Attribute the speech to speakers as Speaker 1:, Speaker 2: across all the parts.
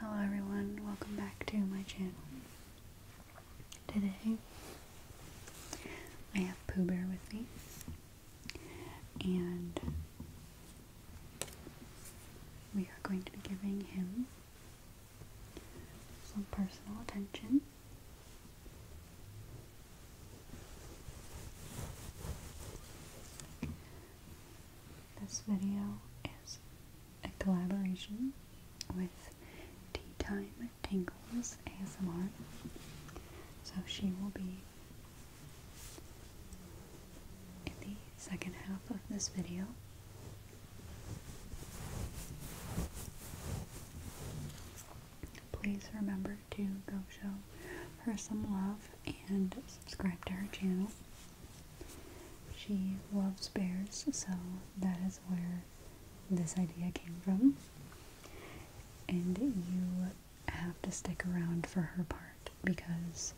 Speaker 1: Hello everyone, welcome back to my channel. Today, I have Pooh Bear with me, and we are going to be giving him some personal attention. This video is a collaboration with Tea Time Tingles ASMR. So she will be in the second half of this video. Please remember to go show her some love and subscribe to her channel. She loves bears, so that is where this idea came from. And you have to stick around for her part because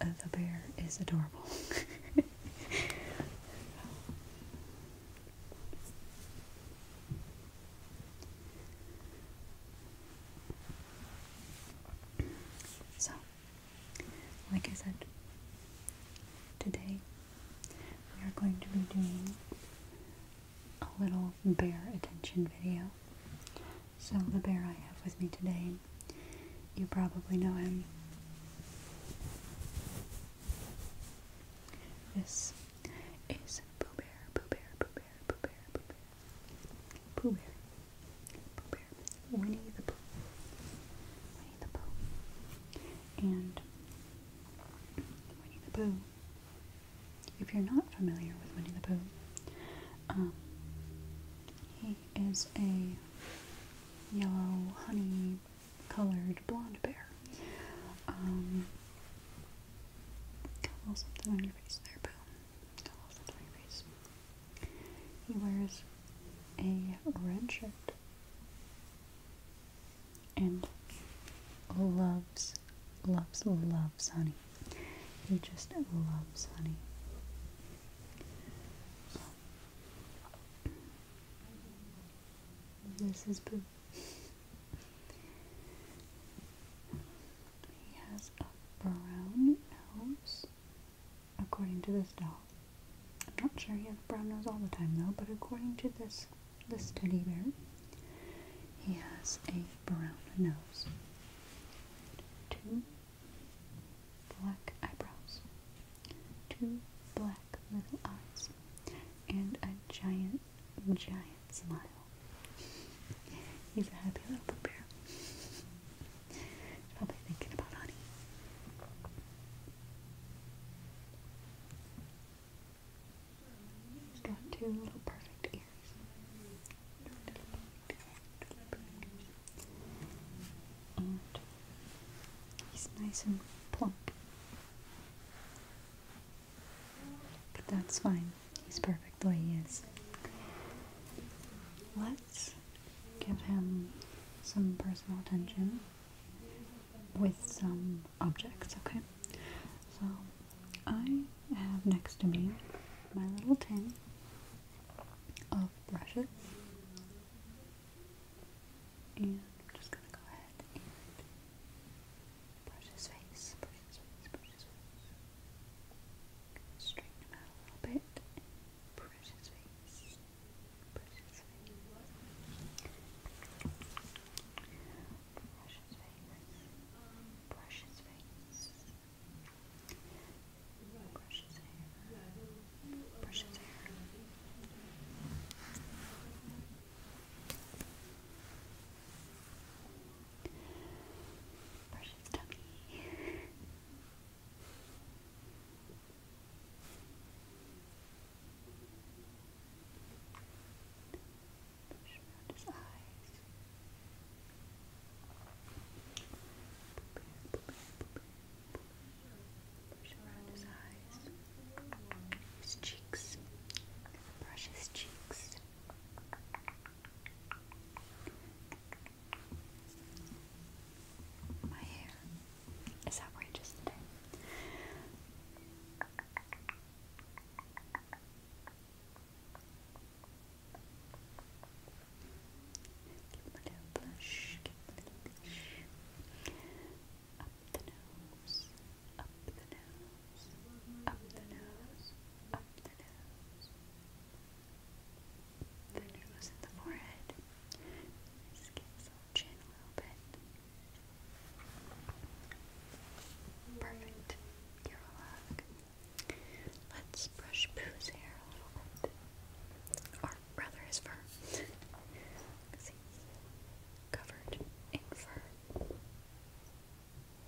Speaker 1: the bear is adorable. so like I said, today we are going to be doing a little bear attention video. So, the bear I have with me today, you probably know him. This is Pooh Bear, Pooh Bear, Pooh Bear, Pooh Bear, Pooh Bear. Pooh Bear. Pooh Bear. Winnie the Pooh. Winnie the Pooh. And Winnie the Pooh. If you're not familiar with Winnie the Pooh, um, he is a yellow, honey colored blonde bear. Um, something on your face there, Pooh. He wears a red shirt and loves, loves, loves honey. He just loves honey. this is Boo. He has a brown house according to this doll. I'm not sure he has a brown nose all the time though, but according to this this teddy bear, he has a brown nose. Two black eyebrows, two black little eyes, and a giant, giant smile. He's a happy little bear. Probably thinking about honey. has got two little perfect ears. he's nice and plump. But that's fine. He's perfect the way he is. let give him some personal attention with some objects, okay? So, I have next to me my little tin of brushes. And I'm just gonna go ahead and brush his face, brush his face, brush his face. Straighten him out a little bit and brush his face. Brush his face. Brush his face. Brush his face. Brush his hair. Brush his hair. Brush his hair. Brush his tummy. Push around his eyes. Push around his eyes. His cheeks. Brush his cheeks. Brush my hair is outrageous today. Give them a little blush. Up the nose, up the nose, up the nose, up the nose, the nose and the forehead. Just give chin a little bit. Perfect. You're all Let's brush Pooh's hair a little bit. Or rather his fur. Because he's covered in fur.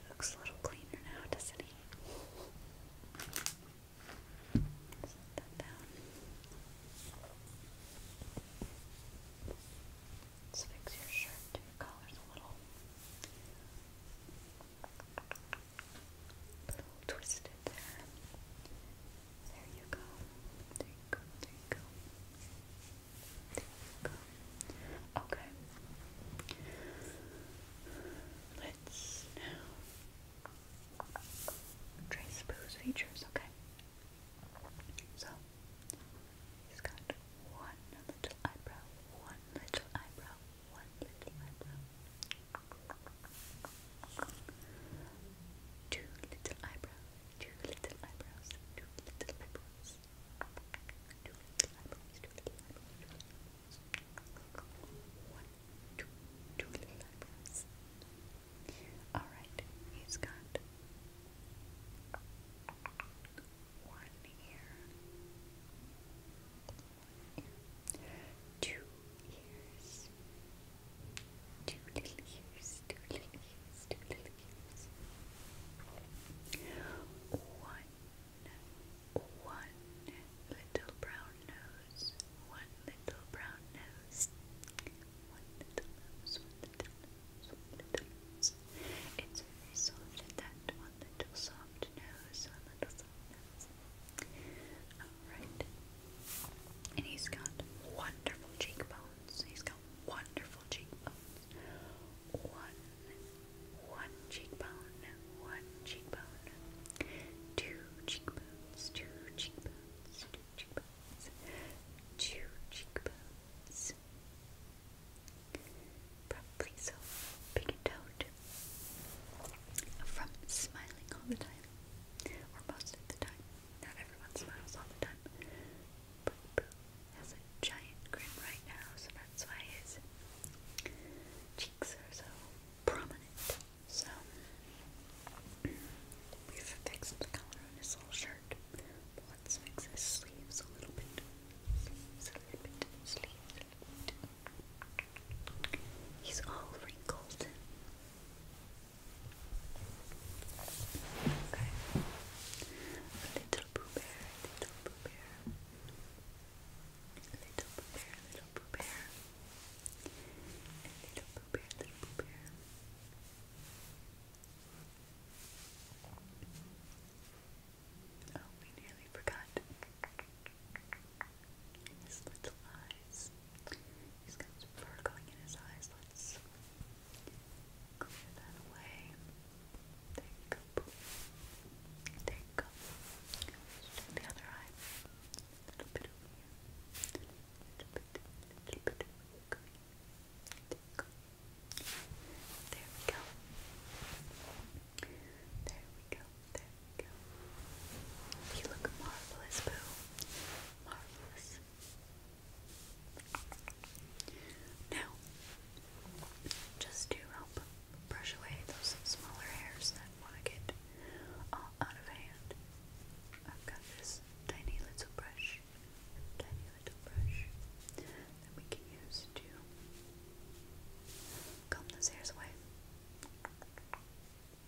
Speaker 1: He looks a little cleaner now, doesn't he? Set that down. Let's fix your shirt to your collars a little. little twisted there. There you go. There you go. There you go. There you go. Okay. Let's now trace Boo's features, okay? So, he's got one little eyebrow, one little eyebrow, one little eyebrow, two little eyebrows, two little eyebrows, two little eyebrows, two little eyebrows, two little eyebrows, one, two, two little eyebrows. All right, he's got one ear, two ears. Two little ears, two little ears, two little ears. One, one little brown nose, one little brown nose, one little nose, one little one little nose. It's very soft and that one little soft nose, one little soft nose. Alright, and he's got wonderful cheekbones. He's got wonderful cheekbones. One, one cheekbone, one cheekbone. Two cheekbones, two cheekbones, two cheekbones, two cheekbones. Probably so big and toad from smiling all the time, or most of the time. Not everyone smiles all the time. Boo Boo has a giant grin right now, so that's why his cheeks are so prominent. So, we've fixed the color on his little shirt. But let's fix his sleeves a little bit. Sleeves a little bit. Sleeves a little bit. He's all wrinkled. Okay. Little Pooh Bear, Little Pooh Bear. Little Pooh Bear, Little Pooh Bear. Little Pooh Bear, Little Pooh Bear. Oh, we nearly forgot. His little eyes. He's got fur going in his eyes. Let's Clear that away. Take up. Take up. Just the other eye. A little bit over here. Little bit, little bit over Take There we go. There we go. There we go. You look marvelous, Boo. Marvelous. Now, just to help brush away those smaller hairs that want to get all out of hand, I've got this tiny little brush, tiny little brush that we can use to comb those hairs away.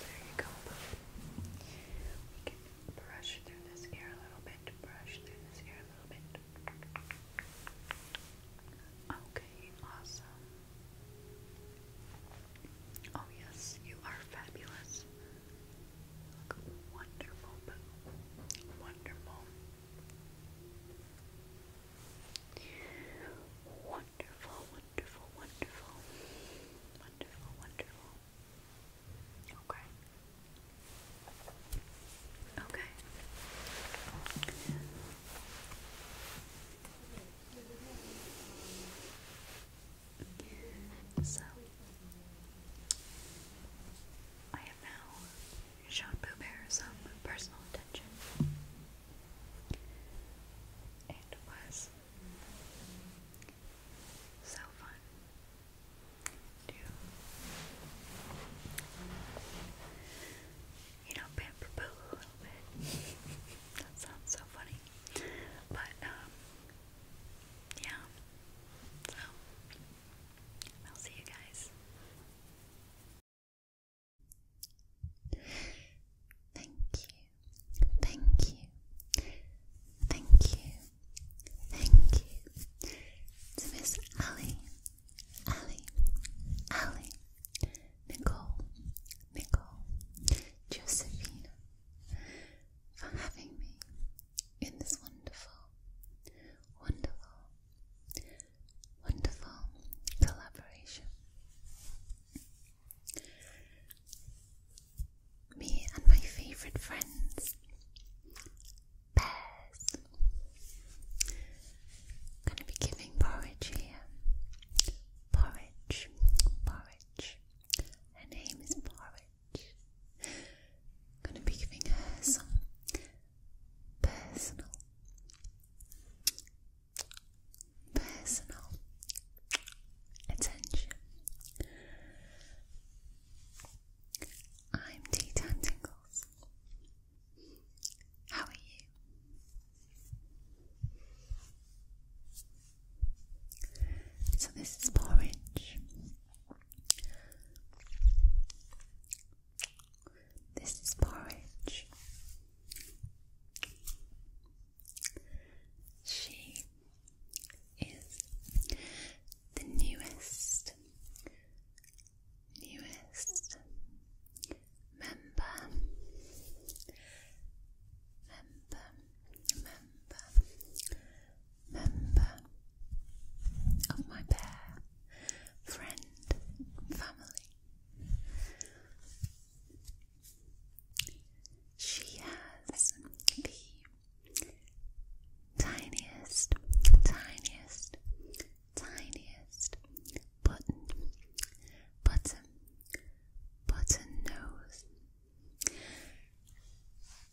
Speaker 1: there you go. We can brush through this ear a little bit, brush through this ear a little bit. Okay, awesome. Oh, yes, you are fabulous. Wonderful. Wonderful. Wonderful, wonderful, wonderful. Wonderful, wonderful. Okay. Okay. So, I have now shown some personal attention. It was so fun. Do you know pamper poo a little bit? that sounds so funny. But um, yeah. So I'll see you guys. Thank you thank you, thank you, thank you Miss Ali, Ali, Ali, Nicole, Nicole, Josephina for having me in this wonderful, wonderful, wonderful collaboration. Me and my favourite friends, bears. going to be giving porridge here. Porridge, porridge. Her name is Porridge. going to be giving her some personal personal attention. I'm Tea Tingles. How are you? So, this is porridge. This is porridge. She is the newest, newest member, member, member, member of my bear friend family. She has the tiniest, tiniest, tiniest button, button, button nose,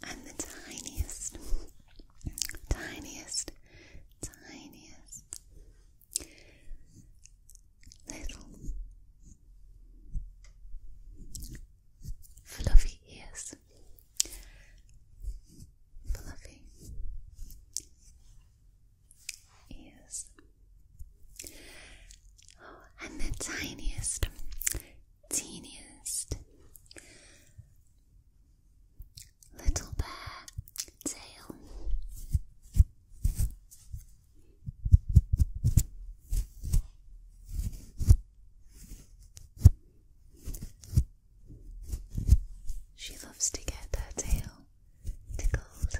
Speaker 1: and the tiniest, tiniest, tiniest little fluffy ears, fluffy ears, oh, and the tiniest, teeniest little bear tail. She loves to get her tail tickled.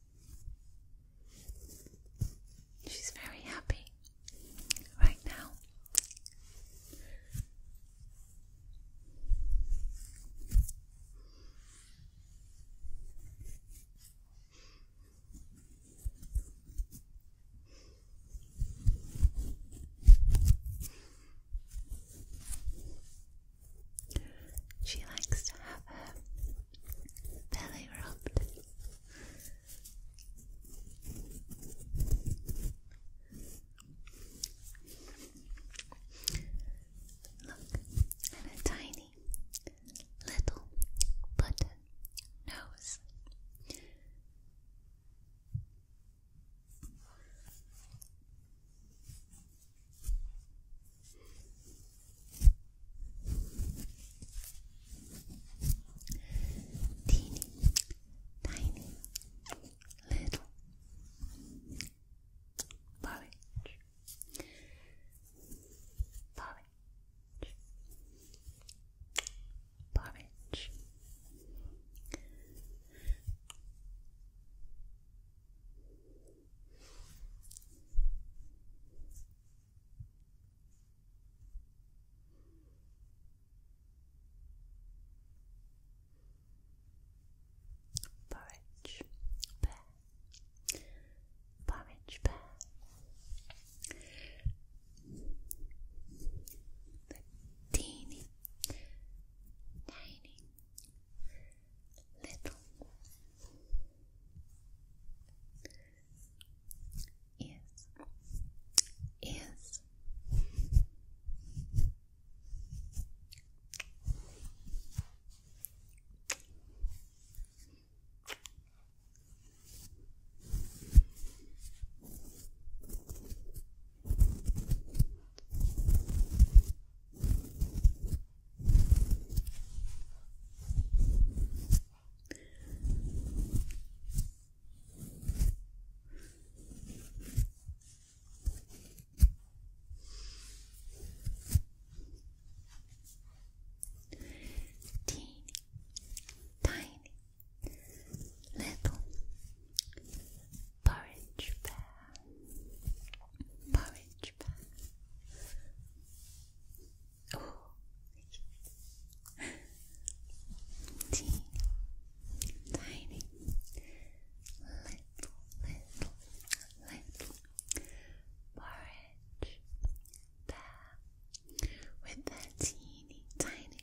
Speaker 1: She's very happy right now. She likes to have her belly rubbed. Look at a tiny little button nose. Teeny, tiny, little porridge, porridge, porridge. Porridge Bear Porridge Bear The teeny tiny little Ears. Ears. Ears. Teeny, tiny, little porridge bear, porridge bear. Oh. Teeny, tiny, little, little, little porridge bear with a teeny, tiny,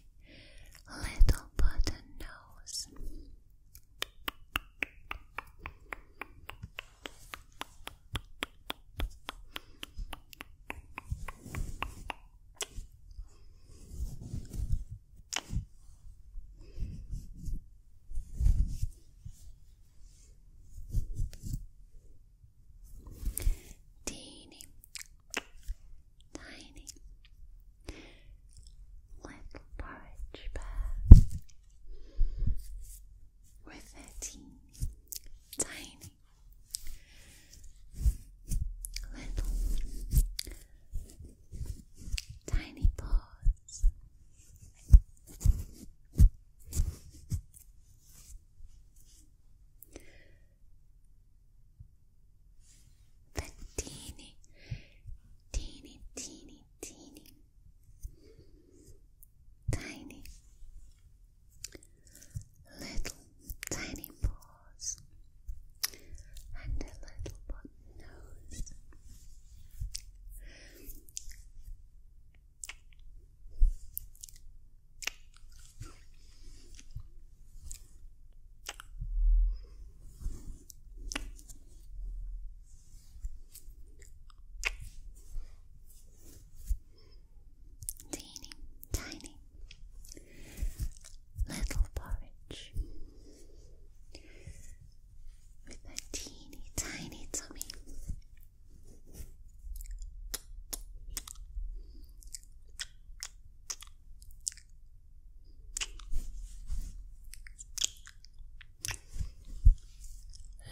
Speaker 1: little button nose. Teeny, tiny little porridge bag. We're thirteen, tiny, little, tiny paws. The teeny, teeny, teeny, tiny little tiny paws and a little button nose. Teeny tiny little porridge with a teeny tiny tummy.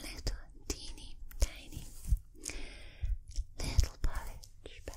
Speaker 1: Little teeny tiny little porridge bell.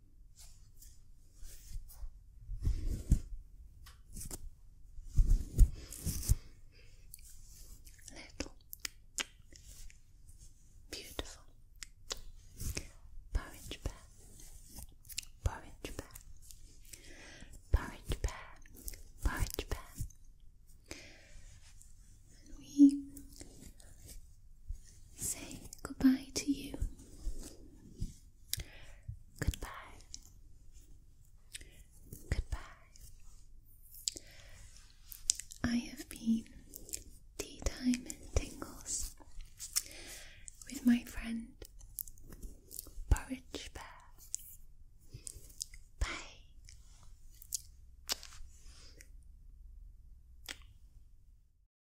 Speaker 1: Little beautiful porridge bear, porridge bear, porridge bear, porridge bear. we say goodbye to you. Goodbye. Goodbye. I have been tea time tingles with my friend Porridge Bear. Bye.